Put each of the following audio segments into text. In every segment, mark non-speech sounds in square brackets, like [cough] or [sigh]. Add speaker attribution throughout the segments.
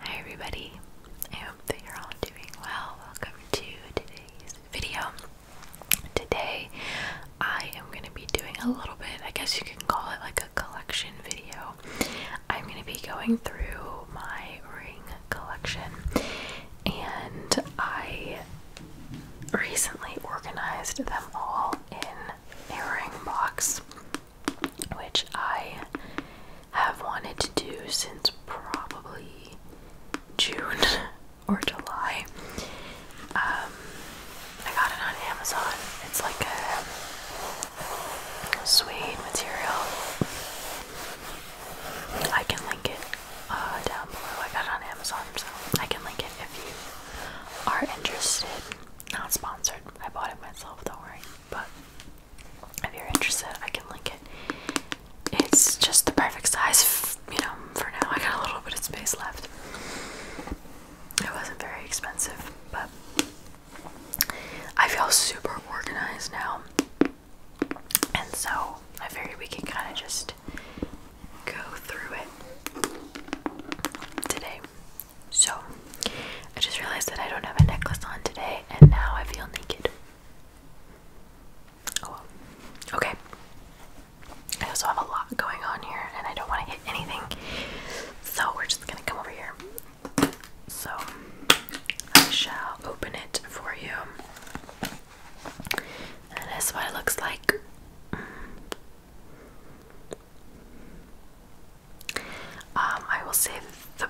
Speaker 1: Hi everybody, I hope that you're all doing well. Welcome to today's video. Today I am going to be doing a little bit, I guess you can call it like a collection video. I'm going to be going through my ring collection and I recently organized them all in a ring box, which I have wanted to do since probably June [laughs] or July. Um, I got it on Amazon. It's like a suede material. I can link it uh, down below. I got it on Amazon, so I can link it if you are interested. Not sponsored. I bought it myself, don't worry. But if you're interested, I can link it. It's just the perfect size, you know, for now. I got a little bit of space left. It wasn't very expensive, but I feel super organized now. And so I figured we can kind of just go through it today. So I just realized that I don't have a necklace on today, and now I feel naked. Oh, okay. I also have a lot going on here, and I don't want to hit anything, so we're just gonna come over here. So I shall open it for you that's what it looks like. Um, I will say the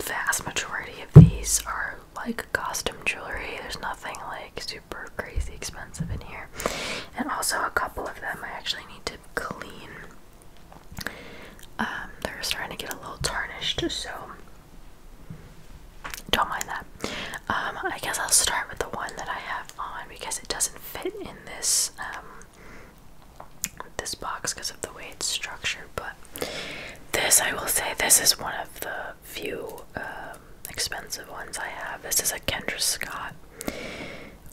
Speaker 1: vast majority of these are like costume jewelry. There's nothing like super crazy expensive in here. And also, a couple of them I actually need to clean. Um, they're starting to get a little tarnished, so don't mind that. Um, I guess I'll start with the one that I have on because it doesn't fit in this um, this box because of the way it's structured. But this, I will say, this is one of the few um, expensive ones I have. This is a Kendra Scott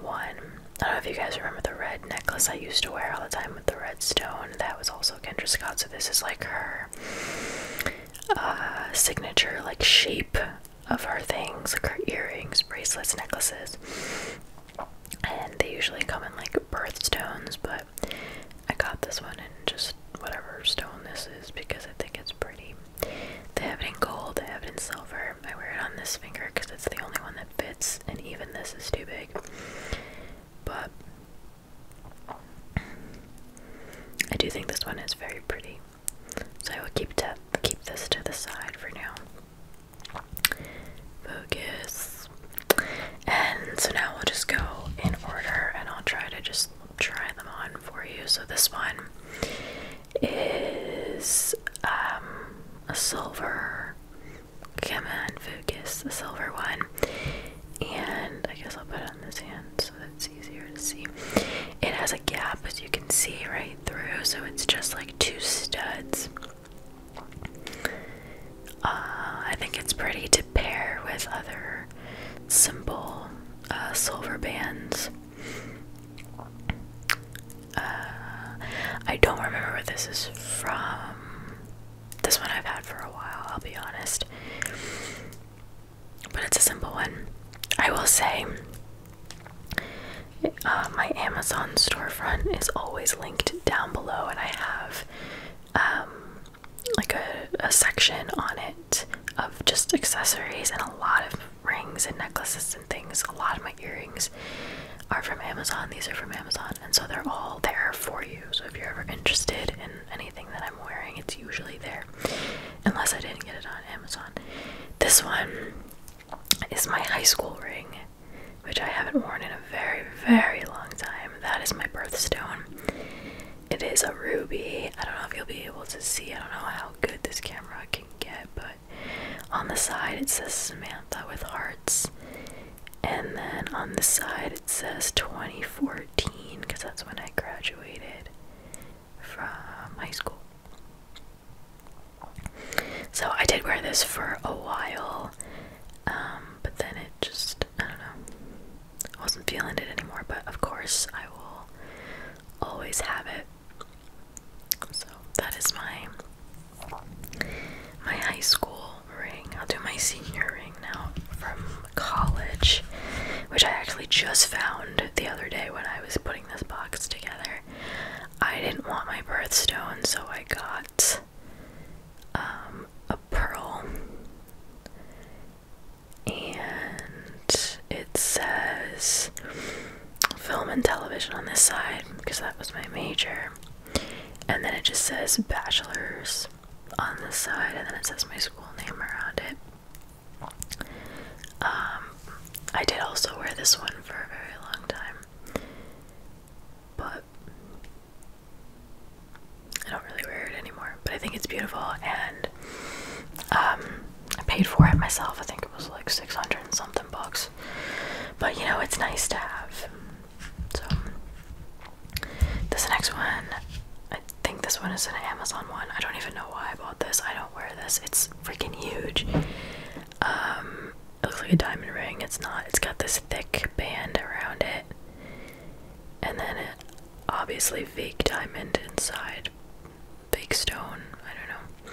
Speaker 1: one. I don't know if you guys remember the red necklace I used to wear all the time the red stone That was also Kendra Scott. So this is like her uh, signature, like shape of her things, like her earrings, bracelets, necklaces. And they usually come in like birthstones, but I got this one in just whatever stone this is because I think it's pretty. They have it in gold, they have it in silver. I wear it on this finger because it's the only one that fits, and even this is too big. But I do think this one is very pretty. So I will keep to keep this to the side for now. Focus. And so now we'll just go in order and I'll try to just try them on for you. So this one is um, a silver. Come on, focus. a silver one and I guess I'll put it on this hand so that it's easier to see. It has a gap as you can see right through, so it's just like two studs. Uh, I think it's pretty to pair with other simple uh, silver bands. Uh, I don't remember where this is from this one I've had for a while, I'll be honest. But it's a simple one. I will say uh, my Amazon storefront is always linked down below, and I have um, like a section on it of just accessories and a lot of rings and necklaces and things. A lot of my earrings are from Amazon, these are from Amazon, and so they're all there for you. So if you're ever interested in anything that I'm wearing, it's usually there. Unless I didn't get it on Amazon. This one is my high school ring, which I haven't worn in a very, very long time. That is my birthstone. It is a ruby. I don't know if you'll be able to see. I don't know how good this camera can get, but on the side it says Samantha with hearts. And then on the side it says 2014 because that's when I graduated from high school. So I did wear this for a while, um, but then it just, I don't know, I wasn't feeling it anymore. But of course, I will always have it. So that is my my high school ring. I'll do my senior ring now from college, which I actually just found the other day when I was putting this box together. I didn't want my birthstone, so I got um, a pearl. And it says film and television on this side because that was my major. And then it just says bachelor's on the side, and then it says my school name around it. Um, I did also wear this one for a very long time, but I don't really wear it anymore. But I think it's beautiful, and um, I paid for it myself. I think it was like 600 and something bucks, but you know, it's nice to have. So this next one, I think this one is an Amazon one. I don't even know why I bought this. I don't wear this. It's freaking huge. Um, it looks like a diamond ring. It's not. It's got this thick band around it, and then it, obviously fake diamond inside, fake stone. I don't know.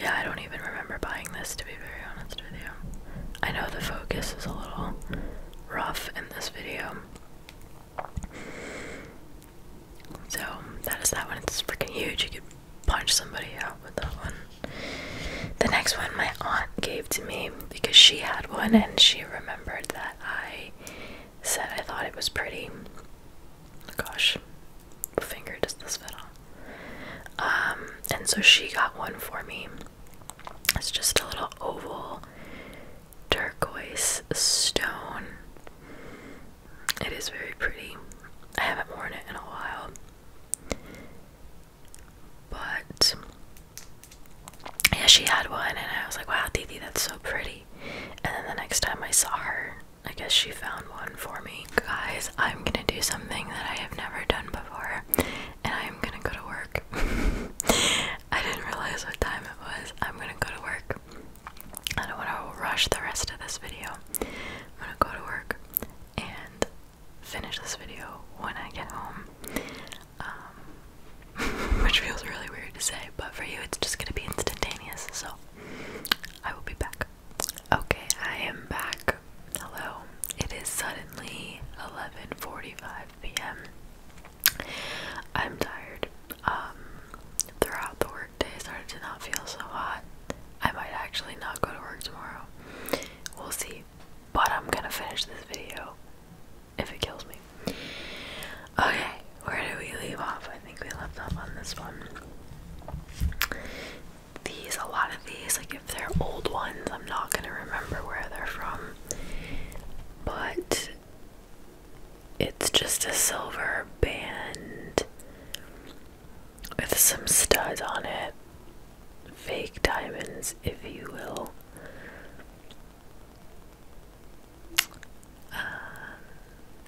Speaker 1: Yeah, I don't even remember buying this to be very honest with you. I know the focus is a little rough in this video. So that is that one. It's freaking huge. You could punch somebody out with that one. The next one my aunt gave to me because she had one and she remembered that I said I thought it was pretty. Gosh, what finger does this fit on? Um, and so she got one for me. It's just a little oval turquoise stone. It is very pretty. I haven't worn it in a while. But yeah, she had one, and I was like, wow, Didi, that's so pretty. And then the next time I saw her, I guess she found one for me. Guys, I'm gonna do something that I have never done before and I'm gonna go to work. [laughs] I didn't realize what time it was. I'm gonna go to work. I don't want to rush the rest of this video. I'm gonna go to work and finish this video when I get home. Um, [laughs] which feels really weird to say, but for you it's just gonna be instantaneous, so I will be back. Okay, I am back. Hello. It is suddenly 11:45 p.m. I'm tired. Um, throughout the workday, started to not feel so hot. I might actually not go to work tomorrow. We'll see. But I'm gonna finish this video if it kills me. Okay, where do we leave off? I think we left off on this one. These, a lot of these, like if they're old ones, I'm not gonna remember where they're from but it's just a silver band with some studs on it. Fake diamonds, if you will. Um,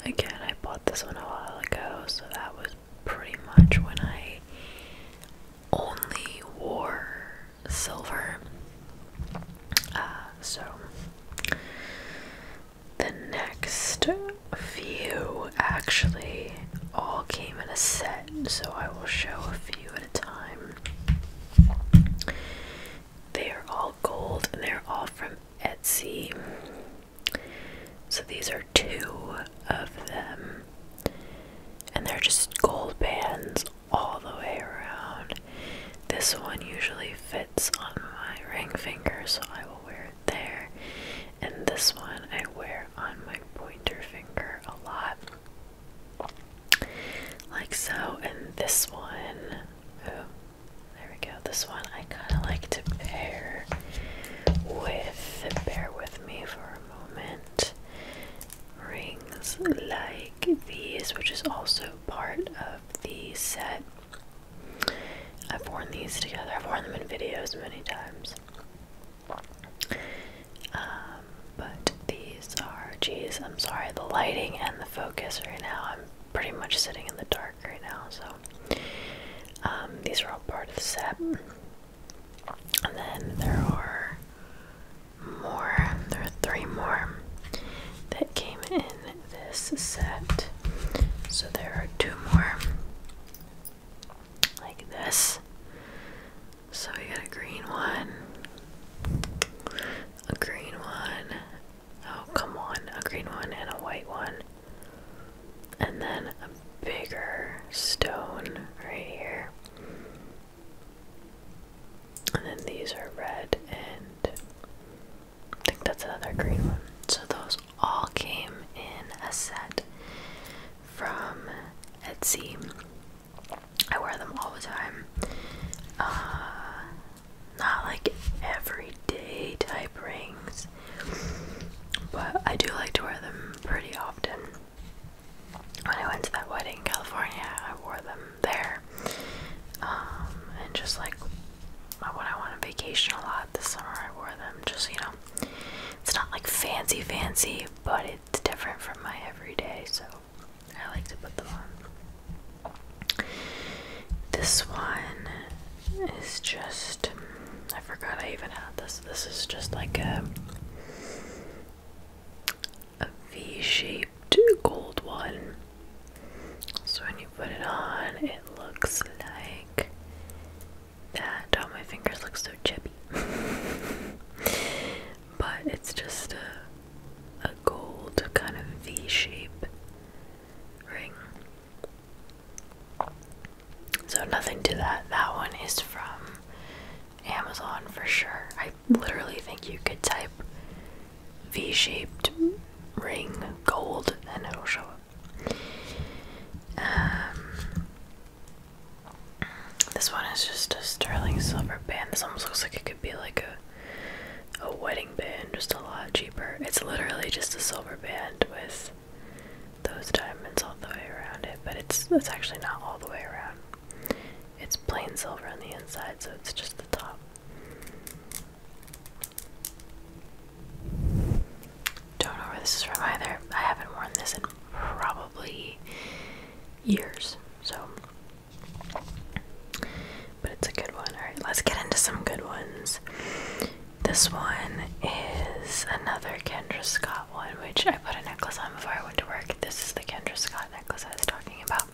Speaker 1: again, I bought this one a while ago, so that was pretty much when I only wore silver. Uh, so, the next few actually all came in a set, so I will show a few at a time. They are all gold and they're all from Etsy. So, these are two of them. And they're just gold bands all the way around. This one usually fits on my ring finger, so I will wear it there. And this one I wear on my pointer finger a lot. Like so, and this one, oh, there we go. This one I kind of like to pair with, bear with me for a moment rings like these, which is also part of the set. I've worn these together, I've worn them in videos many times. Um, but these are, jeez, I'm sorry, the lighting and the focus right now. I'm pretty much sitting in the dark right now, so um, these are all part of the set. And then there are more. There are three more that came in this set. So there are two more like this. So we got a green one, a green one, oh come on, a green one and a white one. And then a bigger stone right here. And then these are red and I think that's another green one. So those all came in a set from Etsy. I wear them all the time. Uh, not like everyday type rings, but I do like to wear them pretty often when I went to that wedding in California, I wore them there. Um, and just like when I went on vacation a lot this summer, I wore them. Just, you know, it's not like fancy, fancy, but it's different from my everyday, so I like to put them on. This one is just. I forgot I even had this. This is just like a a V-shaped gold one. So when you put it on, it looks like that. Oh, my fingers look so chippy. [laughs] but it's just a, a gold kind of v shaped ring. So nothing to that. That one is from Amazon for sure. I literally think you could type V shaped ring gold and it'll show up. Um, this one is just a sterling silver band. This almost looks like it could be like a a wedding band, just a lot cheaper. It's literally just a silver band with those diamonds all the way around it, but it's it's actually not all the way around. It's plain silver on the inside, so it's just the top. Don't know where this is from either. I haven't worn this in probably years, so. But it's a good one. Alright, let's get into some good ones. This one is another Kendra Scott one, which I put a necklace on before I went to work. This is the Kendra Scott that necklace I was talking about.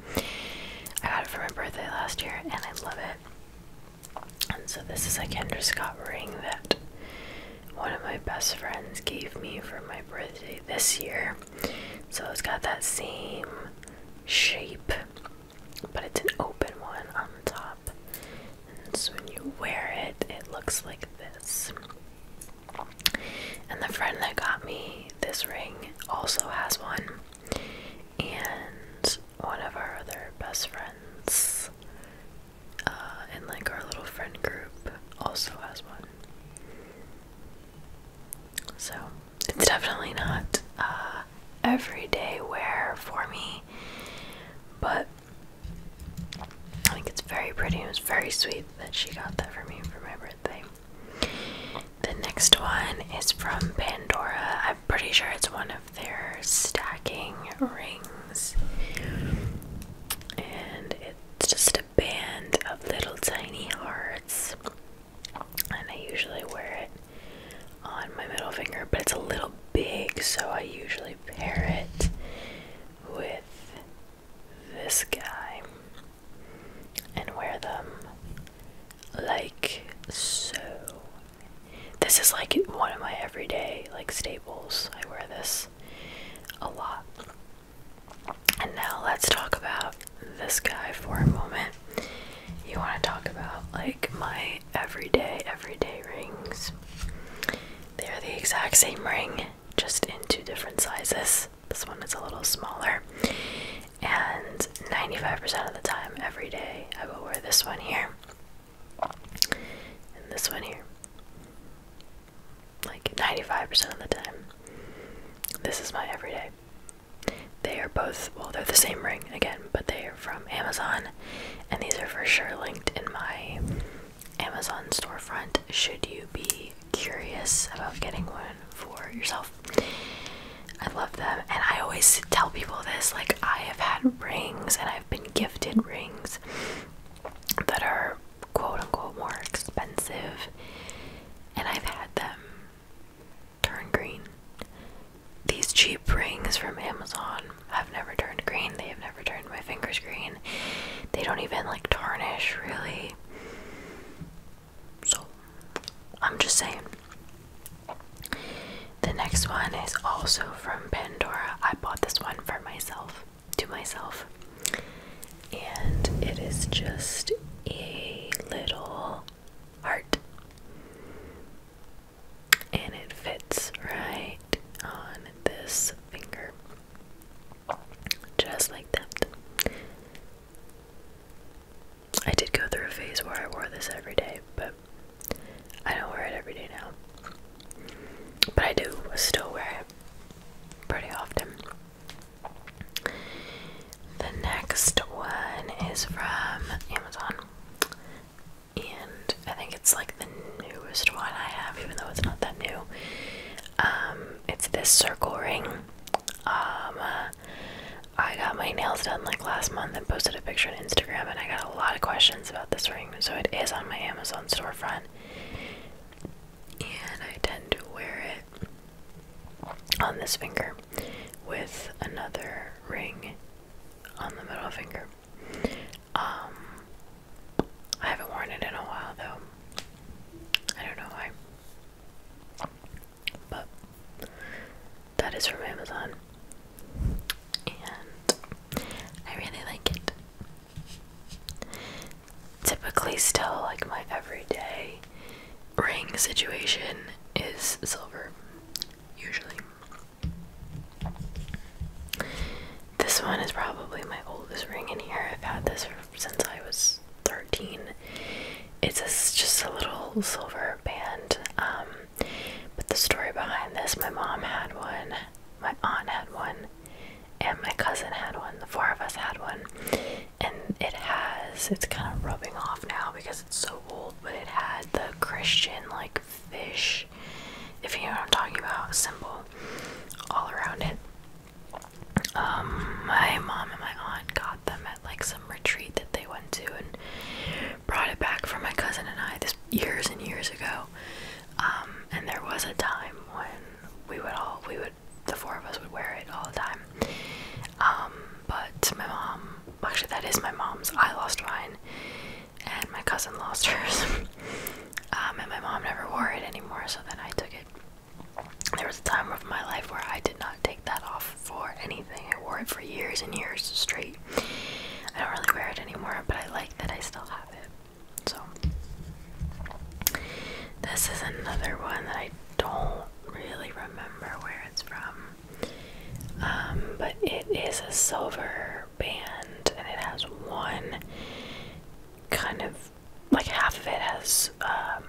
Speaker 1: I got it for my birthday last year and I love it. And so this is a Kendra Scott ring that one of my best friends gave me for my birthday this year. So it's got that same shape, but it's an open one on top. And so when you wear it, it looks like this. And the friend that got me this ring also has one. And one of our other best friends uh, in like our little friend group also has one. So it's definitely not uh, everyday wear for me, but I think it's very pretty. It was very sweet that she got that for me for my birthday. The next one is from Pandora. I'm pretty sure it's one of their stacking rings. And it's just a band of little tiny hearts. And I usually wear it on my middle finger, but it's a little big, so I usually pair it with this guy and wear them like so. This is like one of my everyday like staples. I wear this a lot. And now let's talk about this guy for a moment. You want to talk about like my everyday everyday rings. They're the exact same ring just in two different sizes. This one is a little smaller. And 95% of the time, every day, I will wear this one here and this one here. Like 95% of the time. This is my everyday. They are both, well, they're the same ring again, but they are from Amazon. And these are for sure linked in my Amazon storefront. Should you be curious about getting one for yourself. I love them, and I always tell people this like, I have had rings and I've been gifted rings that are quote unquote more expensive, and I've had them turn green. These cheap rings from Amazon have never turned green, they have never turned my fingers green, they don't even like tarnish really. So I'm just saying. The next one is also from Pandora. I bought this one for myself, to myself. And it is just a little heart. And it fits right on this finger. Just like that. I did go through a phase where I wore this every day, but I don't wear it every day now. But I do still wear it pretty often. The next one is from Amazon. And I think it's like the newest one I have, even though it's not that new. Um, it's this circle ring. Um, I got my nails done like last month and posted a picture on Instagram, and I got a lot of questions about this ring, so it is on my Amazon storefront. And I tend to wear it on this finger with another ring on the middle finger. Um, I haven't worn it in a while though. I don't know why. But that is from Amazon, and I really like it. Typically, still like my everyday ring situation is silver, usually. This one is probably my oldest ring in here. I've had this since I was 13. It's just a little silver band. Um, but the story behind this my mom had one, my aunt had one, and my cousin had one. The four of us had one. And it has, it's kind of rubbing off now because it's so old, but it had the Christian like fish, if you know what I'm talking about, symbol all around it. Um, my mom and my aunt got them at like some retreat that they went to and brought it back for my cousin and I this years and years ago. Um, and there was a time when we would all we would the four of us would wear it all the time. Um, but my mom actually that is my mom's. I lost mine and my cousin lost [laughs] hers. and my mom never wore it anymore, so then I took it there was a time of my life where I did not take that off for anything. I wore it for years and years straight. I don't really wear it anymore, but I like that I still have it. So, this is another one that I don't really remember where it's from. Um, but it is a silver band and it has one kind of like half of it has um,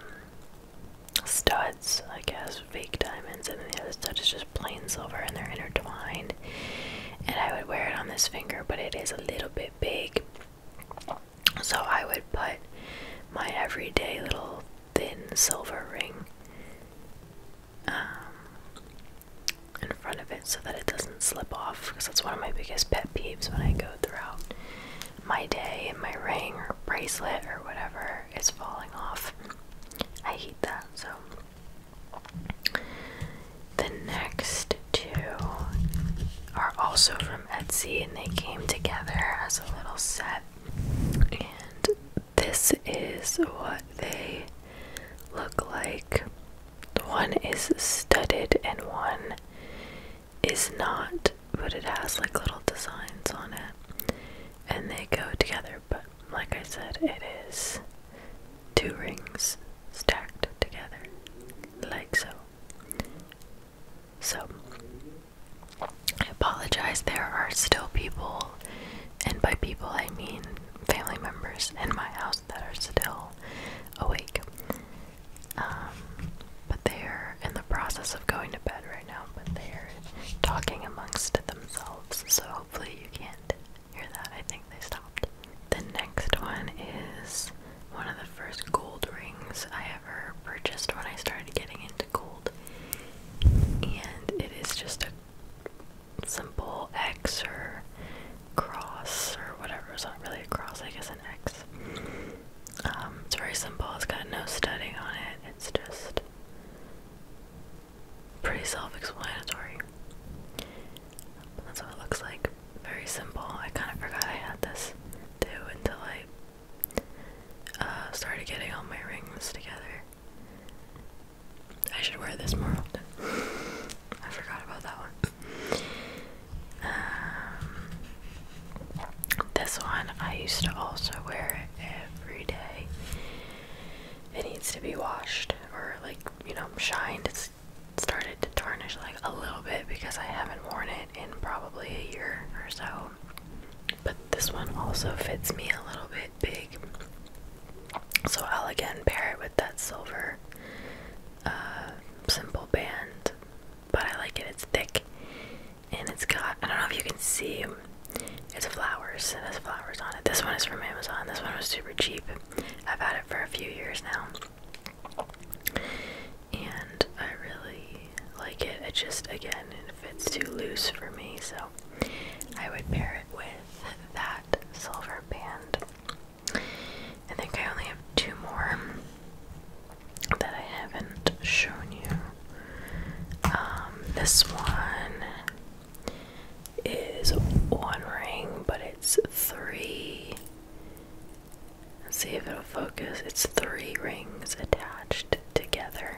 Speaker 1: studs, I guess, fake diamonds, and the other stud is just plain silver, and they're intertwined. And I would wear it on this finger, but it is a little bit big, so I would put my everyday little thin silver ring um, in front of it so that it doesn't slip off because that's one of my biggest pet peeves when I go throughout my day and my ring or bracelet or whatever is falling off. I hate that. So the next two are also from Etsy and they came together as a little set. And this is what they look like. One is studded and one is not, but it has like little designs on it and they go together. But like I said, it is two rings stacked together, like so. So, I apologize. There are still people, and by people I mean family members in my house that are still awake. Um, but they're in the process of going to bed right now, but they're talking amongst themselves, so hopefully you can't hear that. I think they stopped. The next one is one of the first gold rings I ever purchased when I started getting into gold. And it is just a simple X or cross or whatever. It's not really a cross, I guess an X. Um, it's very simple, it's got no studding on it, it's just pretty self explanatory. That's what it looks like. Very simple. I kind of forgot I had this too until I uh, started getting all my rings together. I should wear this more often. [laughs] I forgot about that one. Um, this one I used to also wear it every day. It needs to be washed or like you know shined. It's started to tarnish like a little bit because I haven't worn it in probably a year or so. But this one also fits me a little bit big. So I'll again pair it with that silver uh, simple band. But I like it, it's thick and it's got I don't know if you can see it's flowers. It has flowers on it. This one is from Amazon. This one was super cheap. I've had it for a few years now. And I really like it. It just again it fits too loose for me, so I would pair it with that silver band. I think I only have two more that I haven't shown you. Um, this one is one ring, but it's 3 see if it'll focus. It's three rings attached together.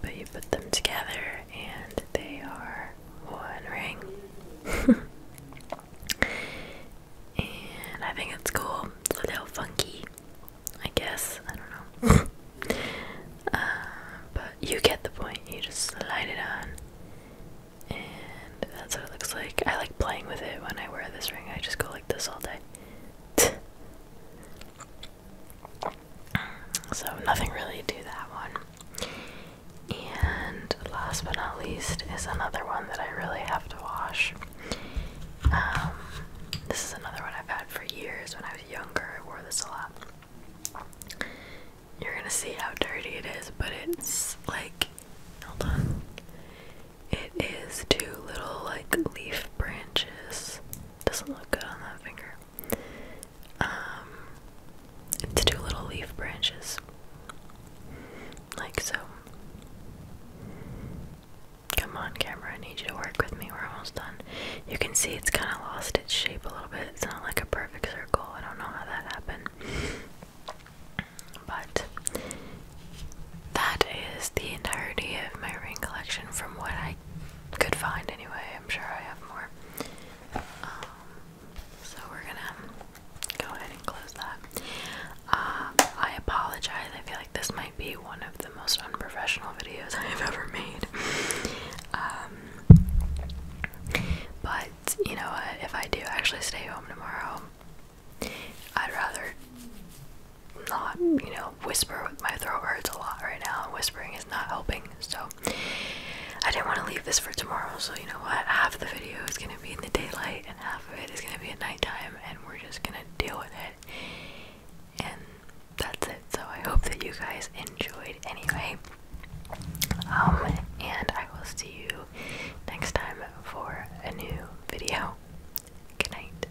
Speaker 1: But you put them together and they are one ring. [laughs] and I think it's cool a little funky, I guess. I don't know. [laughs] Uh, but you get the point. You just slide it on, and that's what it looks like. I like playing with it when I wear this ring. I just go like this all day. [tsk] so nothing really to that one. And last but not least is another one that I really have to wash. Um, this is another one I've had for years. When I was younger, I wore this a lot. You're gonna see how dirty it is, but it's like, hold on. It is two little like leaf branches. Doesn't look good on that finger. Um, it's two little leaf branches, like so. Come on, camera, I need you to work with me. We're almost done. You can see it's kind of lost its shape a little bit. It's not like a perfect circle. I don't know how that happened. But that is the entirety of my ring collection from what I could find anyway. I'm sure I have more. Um, so we're gonna go ahead and close that. Um, I apologize. I feel like this might be one of the most unprofessional videos [laughs] I've ever made. Um, but you know what? If I do actually stay home tomorrow, I'd rather not, you know, whisper my throat hurts a lot right now. Whispering is not helping. So I didn't want to leave this for tomorrow. So you know what? Half the video is going to be in the daylight and half of it is going to be at nighttime and we're just gonna deal with it. And that's it. So I hope that you guys enjoyed anyway. Um, and I will see you next time for a new video. Good night.